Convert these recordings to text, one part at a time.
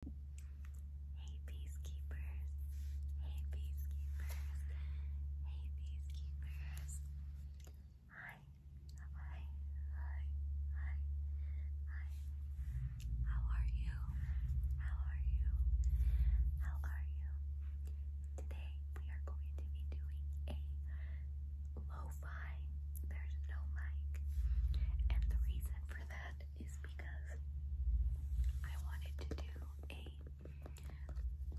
Hey peacekeepers. Hey peacekeepers. Hey peacekeepers. Hi. Hi. Hi. Hi. Hi. How are you? How are you? How are you? Today we are going to be doing a lo There's no mic. And the reason for that is because I wanted to do a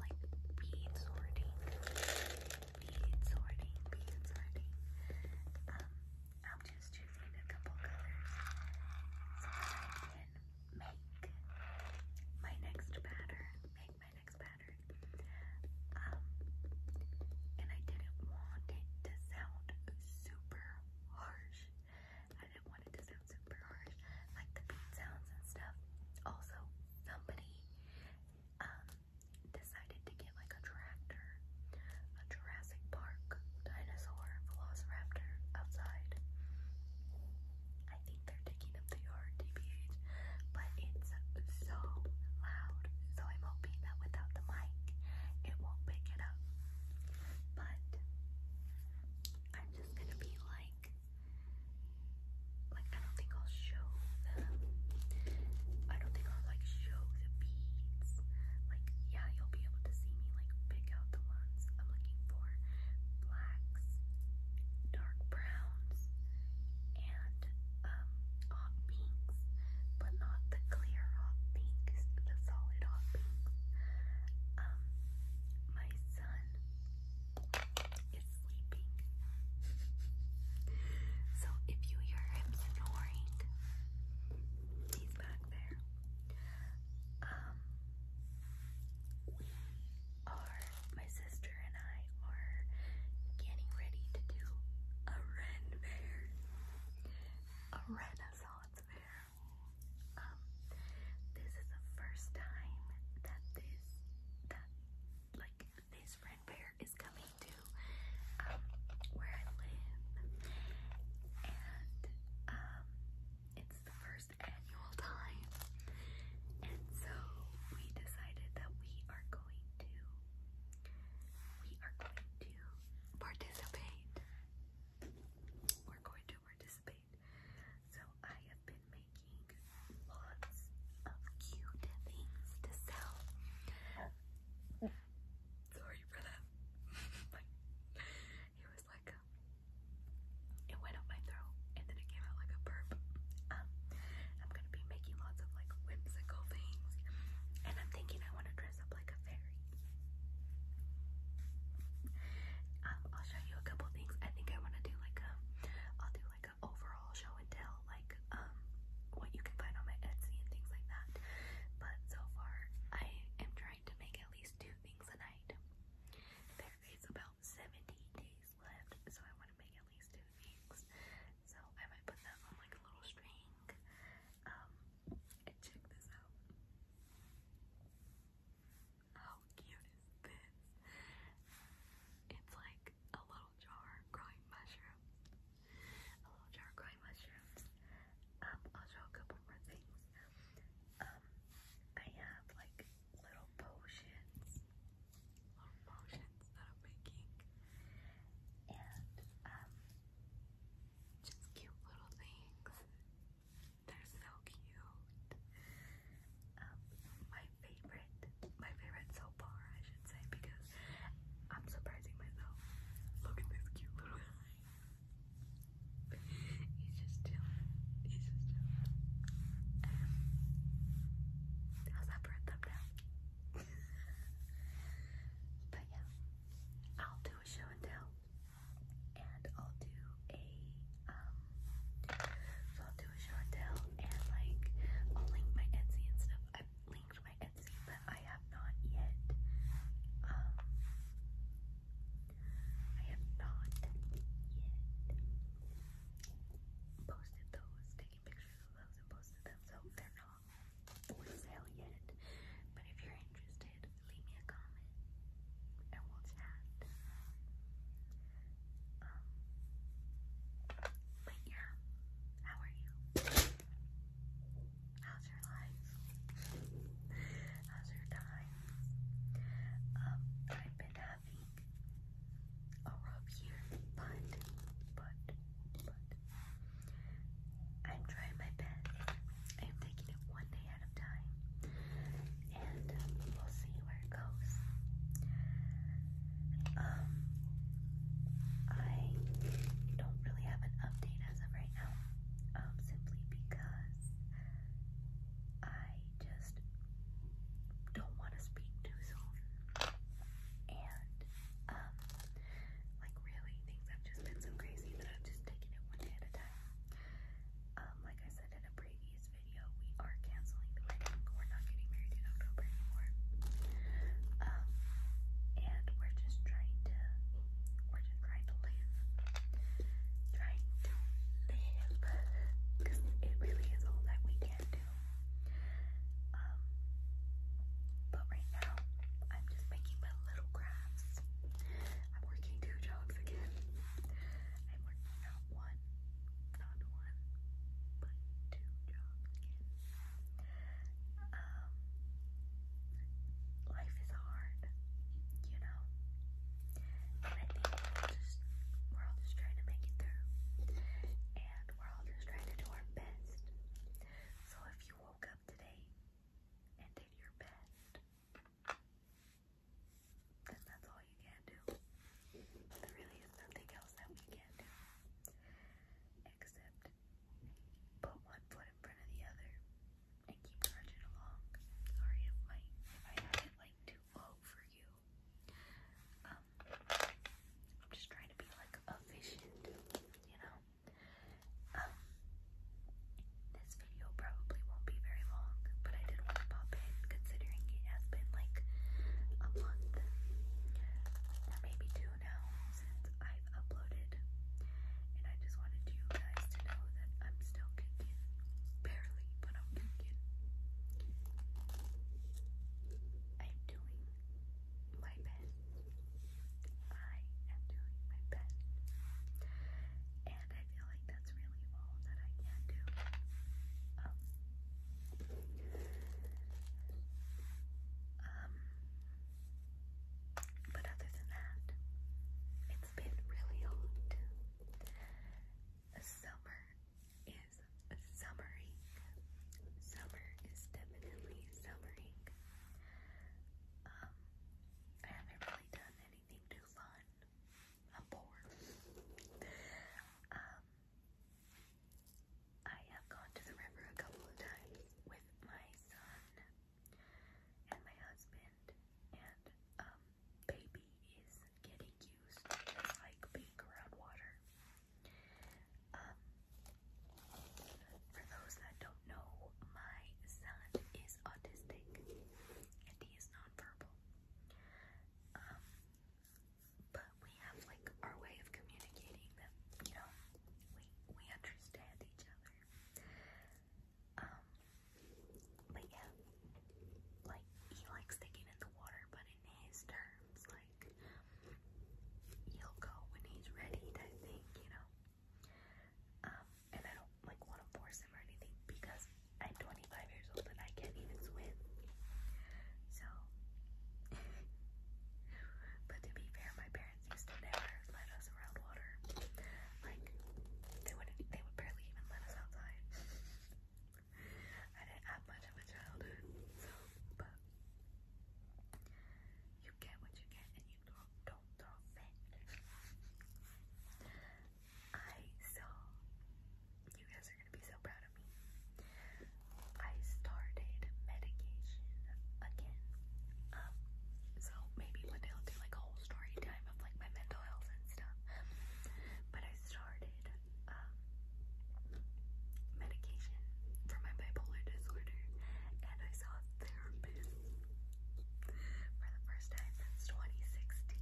like bead sorting, bead sorting, bead sorting. Um, i just choosing a couple colors so make my next pattern, make my next pattern. Um, and I didn't want it to sound super harsh, I didn't want it to sound super harsh, like the beat sounds and stuff. Also, somebody um, decided to get like a tractor, a Jurassic Park dinosaur velociraptor outside. I think they're taking up the yard, DBH, but it's so loud. So I'm hoping that without the mic, it won't pick it up. But I'm just gonna be like, like I don't think I'll show them. I don't think I'll like show the beads. Like yeah, you'll be able to see me like pick out the ones I'm looking for. Blacks, dark browns, and um hot pinks but not the clear hot pinks, the solid hot pinks. Um, my son is sleeping. so if you hear him snoring, he's back there. Um, we are, my sister and I are getting ready to do a Ren Fair, a Renaissance Fair. Um, this is the first time that this that like this friend pair is coming to um, where I live. And um it's the first annual time. And so we decided that we are going to we are going to participate we're going to participate. So I have been making lots of cute things to sell. Sorry for that. it was like it went up my throat and then it came out like a burp. Um, I'm gonna be making lots of like whimsical things, and I'm thinking I want to dress up like a fairy. Um, I'll show you a couple things. I think I want to do like a, I'll do like an overall show and tell, like um, what you can find on my Etsy and things like that. But so far, I am trying to make at least two things a night. There is about 17 days left, so I want to make at least two things. So I might put them on like a little string. Um, check this out. How cute is this? It's like a little jar growing mushrooms. A little jar growing mushrooms. Um, I'll show a couple more things. Um, I have like little potions. Little potions that I'm making. And um just cute little things. They're so cute. Um, my favorite, my favorite so far, I should say, because I'm surprising myself. Look at this cute little guy. He's just chilling. He's just chilling. Um, how's that for a thumbnail? but yeah, I'll do a show and tell, and I'll do a um, I'll do a show and tell, and like i my Etsy and stuff. I've linked my Etsy, but I have not yet. Um, I have not yet posted those, taken pictures of those, and posted them, so they're not for but if you're interested, leave me a comment and we'll chat. Um, yeah, how are you? How's your life? How's your time? Um, I've been having a rough year, but, but, but, I'm trying my best. I'm taking it one day at a time, and um, we'll see where it goes. Um, I don't really have an update as of right now, um, simply because I just don't want to speak too soon, and um, like really, things have just been so crazy that I've just taken it one day at a time. Um, like I said in a previous video, we are canceling the wedding. We're not getting married in October anymore. Um, and we're just trying to, we're just trying to live. Trying to live. it really is all that we can do. Um, but right now, I'm just making my little craft. I'm working two jobs again. I'm working not one, not one, but two jobs Um, life is hard, you know, and we're all just trying to make it through, and we're all just trying to do our best. So if you woke up today and did your best, that's all you can do. There really is nothing else that we can do except put one foot in front of the other and keep trudging along. Sorry if my I have it like too low for you. Um I'm just trying to be like efficient, you know. Um, this video probably won't be very long, but I did want to pop in considering it has been like a month maybe two now since I've uploaded. And I just wanted you guys to know that I'm still kicking. Barely, but I'm kicking. I'm doing my best. I am doing my best. And I feel like that's really all that I can do. but other than that, it's been really hot. Summer is summering. Summer is definitely summering. I haven't really done anything too fun. I'm bored. Um, I have gone to the river a couple of times with my son and my husband, and um, baby is getting used to like being around water. Um, for those that don't know, my son is autistic and he is nonverbal. Um, but we have like our way of communicating that, you know, we we understand each other. Um, but yeah, like he likes to in the water, but in his terms, like he'll go when he's ready, type thing, you know. Um, and I don't like want to force him or anything because I'm 25 years old and I can't even swim. So, but to be fair, my parents used to never let us around water. Like they wouldn't, they would barely even let us outside. I didn't have much of a childhood, so but you get what you get, I saw, you guys are gonna be so proud of me. I started medication again. so maybe one day I'll do like a whole story time of like my mental health and stuff. But I started medication for my bipolar disorder and I saw for the first time since 2016.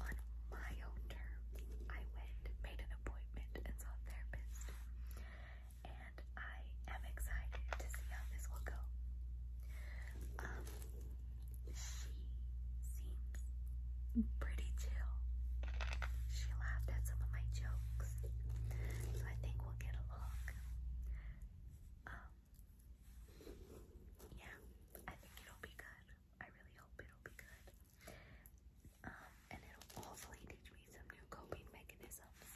On my own terms, I went, made an appointment, and saw a therapist. And I am excited to see how this will go. Um, she seems pretty chill. She laughed at some of my jokes. So I think will get um, yeah, I think it'll be good. I really hope it'll be good. Um, and it'll hopefully teach me some new coping mechanisms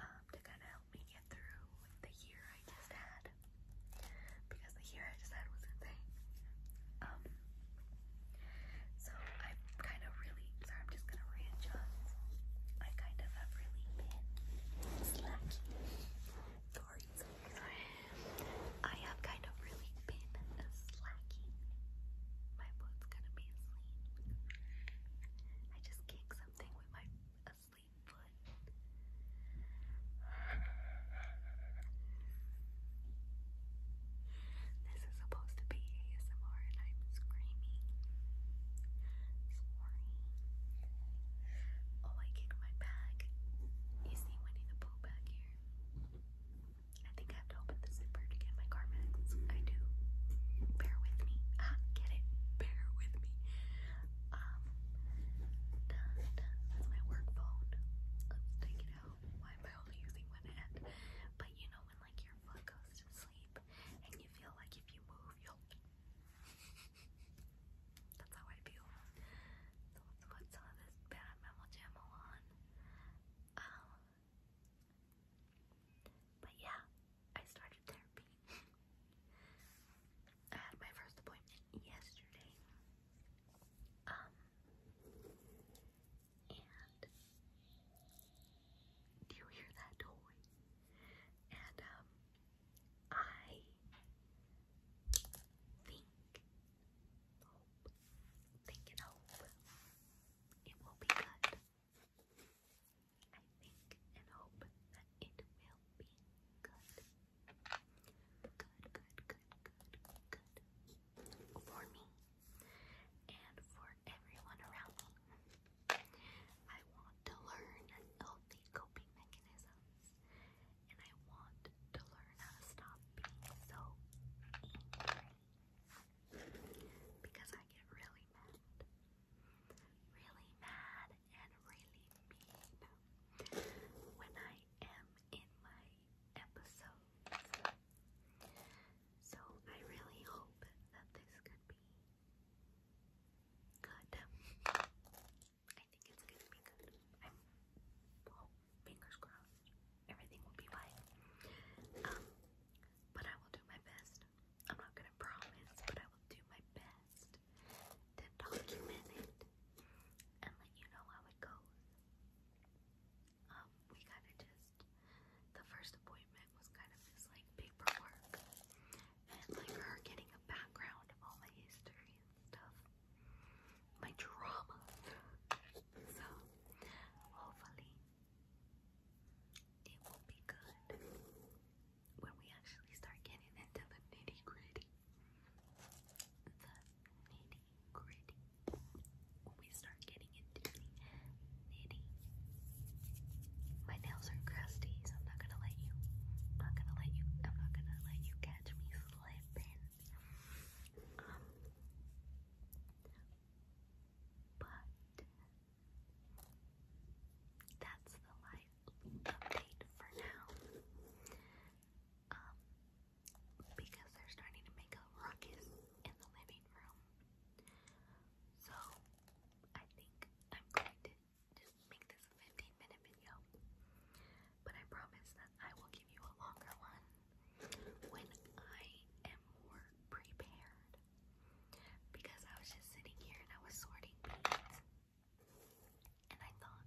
um, to kind of help me get through the year I just had. Because the year I just had was insane. So i am kind of really, sorry, I'm just gonna readjust. I kind of have really been slacking. Sorry, I have kind of really been slacking. My foot's gonna be asleep. I just kicked something with my asleep foot. This is supposed to be ASMR and I'm screaming. Sorry. Oh, I kicked my bag. You see Winnie the Pooh back here? I think I have to open the zipper to get my Carmex. I do. Bear with me. Ah, get it. Bear with me. Um, dun, that's my work phone. Let's take it out. Why am I only using one hand? But you know when like your foot goes to sleep shape and you feel like if you move you'll that's how I feel. So let's put this bad mammal on. Um, but yeah, I started therapy. I had my first appointment yesterday. Um, and do you hear that noise? And um, I think, hope, think and hope it will be good. I think and hope that it will be good. Good, good, good, good, good. For me, and for everyone around them. I want to learn healthy coping mechanisms and I want to learn to stop being so angry because I get really mad. Really mad and really mean when I am in my episodes so I really hope that this could be good. I think it's gonna be good. i fingers crossed. Everything will be fine. Um, but I will do my best. I'm not gonna promise, but I will do my best to document it and let you know how it goes um, we kind of just, the first appointment was kind of this like paperwork and like her getting a background of all my history and stuff, my drama. so, hopefully, it will be good when we actually start getting into the nitty gritty. The nitty gritty. When we start getting getting My nails are crusty, so I'm not gonna let you. not gonna let you. I'm not gonna let you catch me slipping. Um, but that's the life update for now. Um, because they're starting to make a ruckus in the living room. So I think I'm going to just make this 15 minute video. But I promise that I will give you a longer one when I am more prepared. Because I was just sitting here and I was sorting beads. And I thought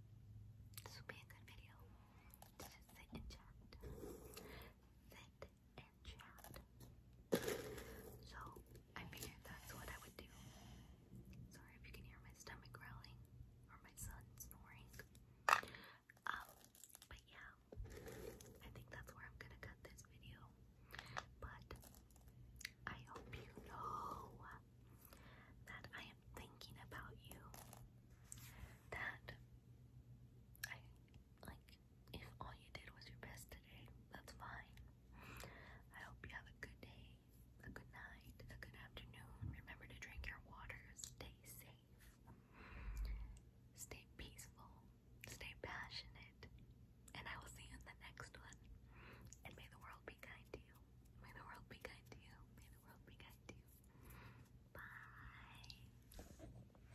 this would be a good video to just sit and chat. Sit so I figured that's what I would do. Sorry if you can hear my stomach growling or my son snoring. Um, but yeah, I think that's where I'm gonna cut this video. But I hope you know that I am thinking about you. That I like if all you did was your best today, that's fine. I hope you have a good day, a good night, a good afternoon. Remember to drink your water, stay safe, stay peaceful, stay passionate, and I will see you in the next one. And may the world be kind to you. May the world be kind to you. May the world be kind to you. Bye.